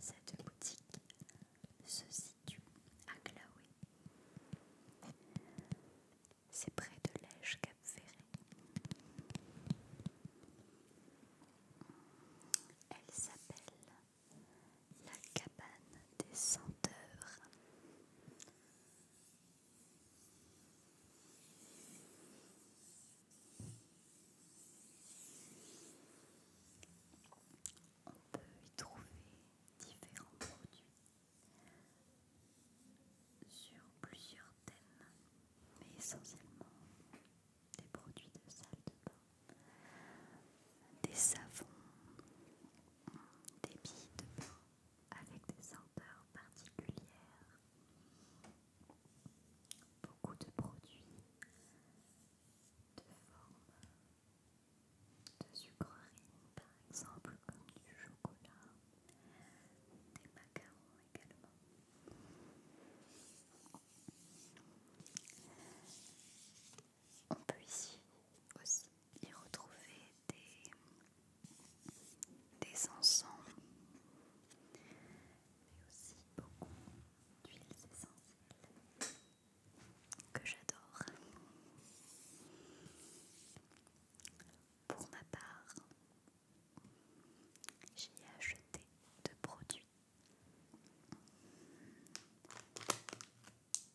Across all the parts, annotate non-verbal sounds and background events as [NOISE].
Cette boutique se situe à Glaoué. C'est près de l'Ège Cap Ferré. Elle s'appelle la cabane des senteurs. On peut y trouver différents produits sur plusieurs thèmes, mais essentiellement des produits de salle de bain, des savons, des billes de bain, avec des senteurs particulières. Beaucoup de produits de forme de sucreries, par exemple, comme du chocolat, des macarons également. On peut ici aussi y retrouver des, des encens mais aussi beaucoup d'huiles essentielles que j'adore. Pour ma part, j'ai acheté deux produits.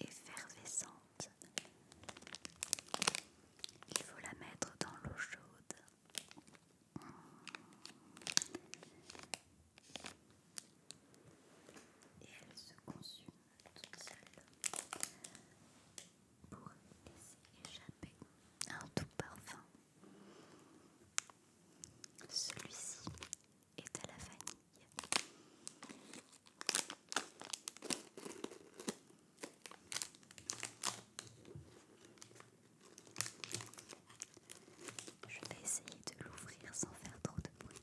effervescente. Il faut la mettre dans l'eau chaude. Et elle se consume toute seule pour laisser échapper un tout parfum. Celui-ci et à la famille. Je vais essayer de l'ouvrir sans faire trop de bruit.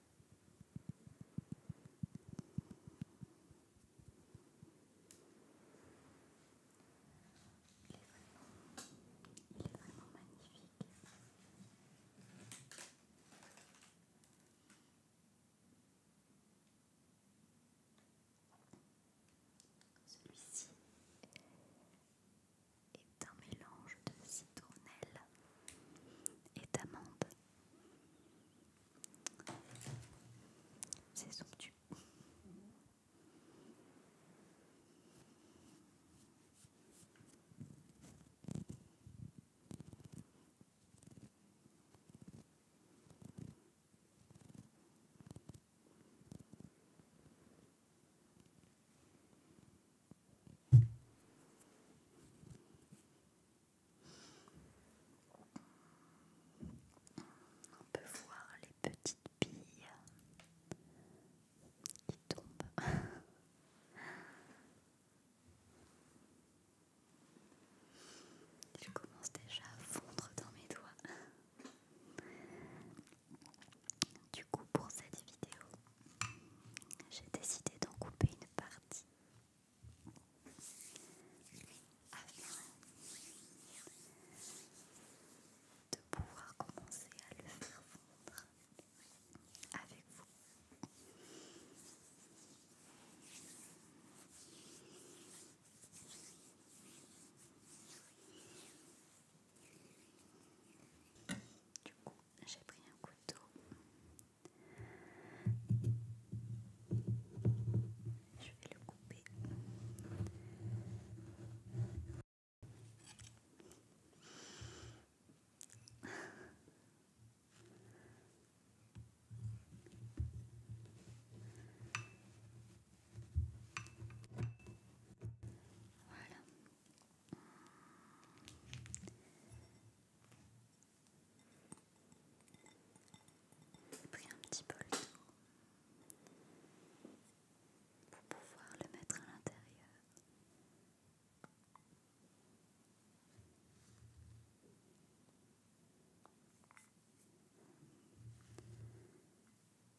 Il est vraiment magnifique. Celui-ci est un mélange de citronnelle et d'amande. C'est somptueux. On peut voir les petites billes qui tombent. Je [LAUGHS] commence déjà à fondre dans mes doigts. Du coup, pour cette vidéo, j'ai décidé d'en couper une partie afin de pouvoir commencer à le faire vendre avec vous j'ai pris un couteau. Je vais le couper. Voilà, j'ai pris un petit peu pour pouvoir le mettre à l'intérieur.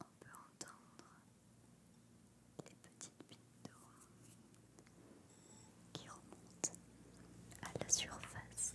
On peut entendre les petites bulles d'eau qui remontent à la surface.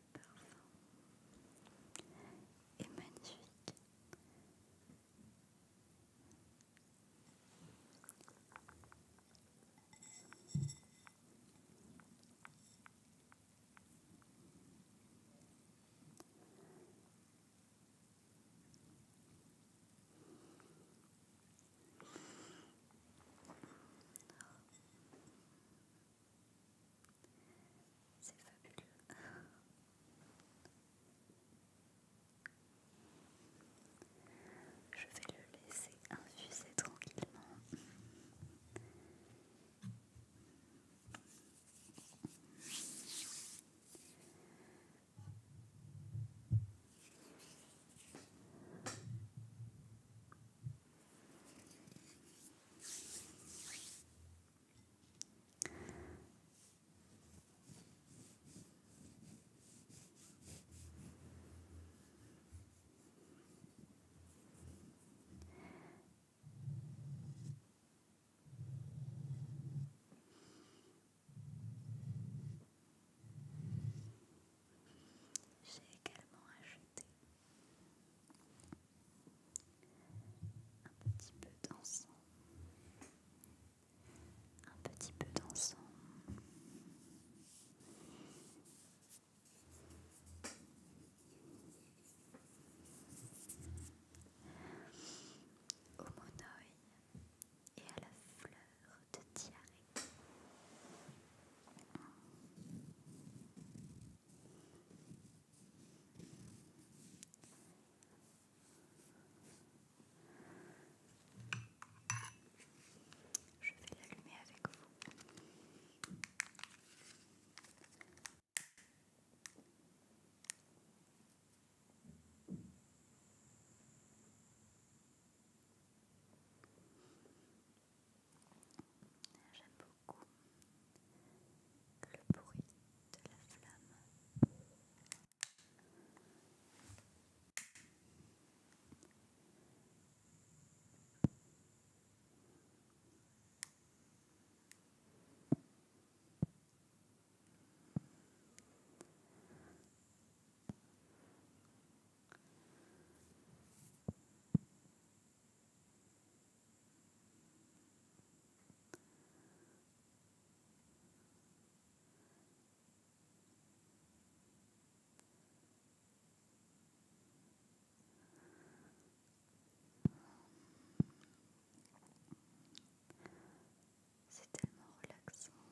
le parfum est magnifique. Voilà. C'est fabuleux. Je vais le laisser infuser tranquillement. J'ai également ajouté un petit peu d'encens. Un petit peu d'encens. Au monoeil et à la fleur de diarrhée. Je vais l'allumer avec vous. J'aime beaucoup le bruit de la flamme. C'est tellement relaxant.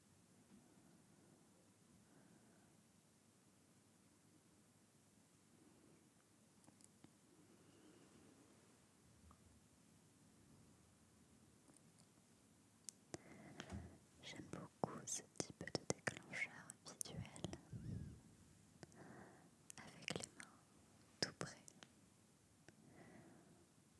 J'aime beaucoup ce type de déclencheur visuel avec les mains tout près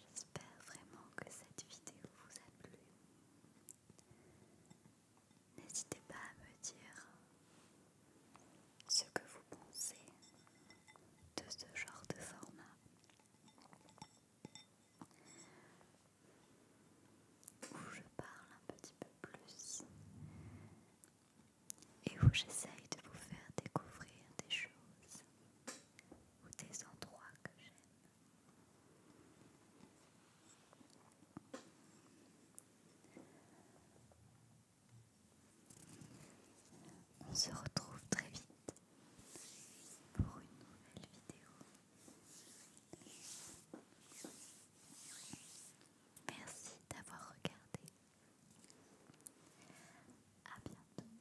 J'espère vraiment que cette vidéo vous a plu. N'hésitez pas à me dire ce que vous pensez de ce genre de format. Où je parle un petit peu plus et où j'essaye de vous faire découvrir des choses ou des endroits que j'aime. On se retrouve très vite pour une nouvelle vidéo. Merci d'avoir regardé. À bientôt.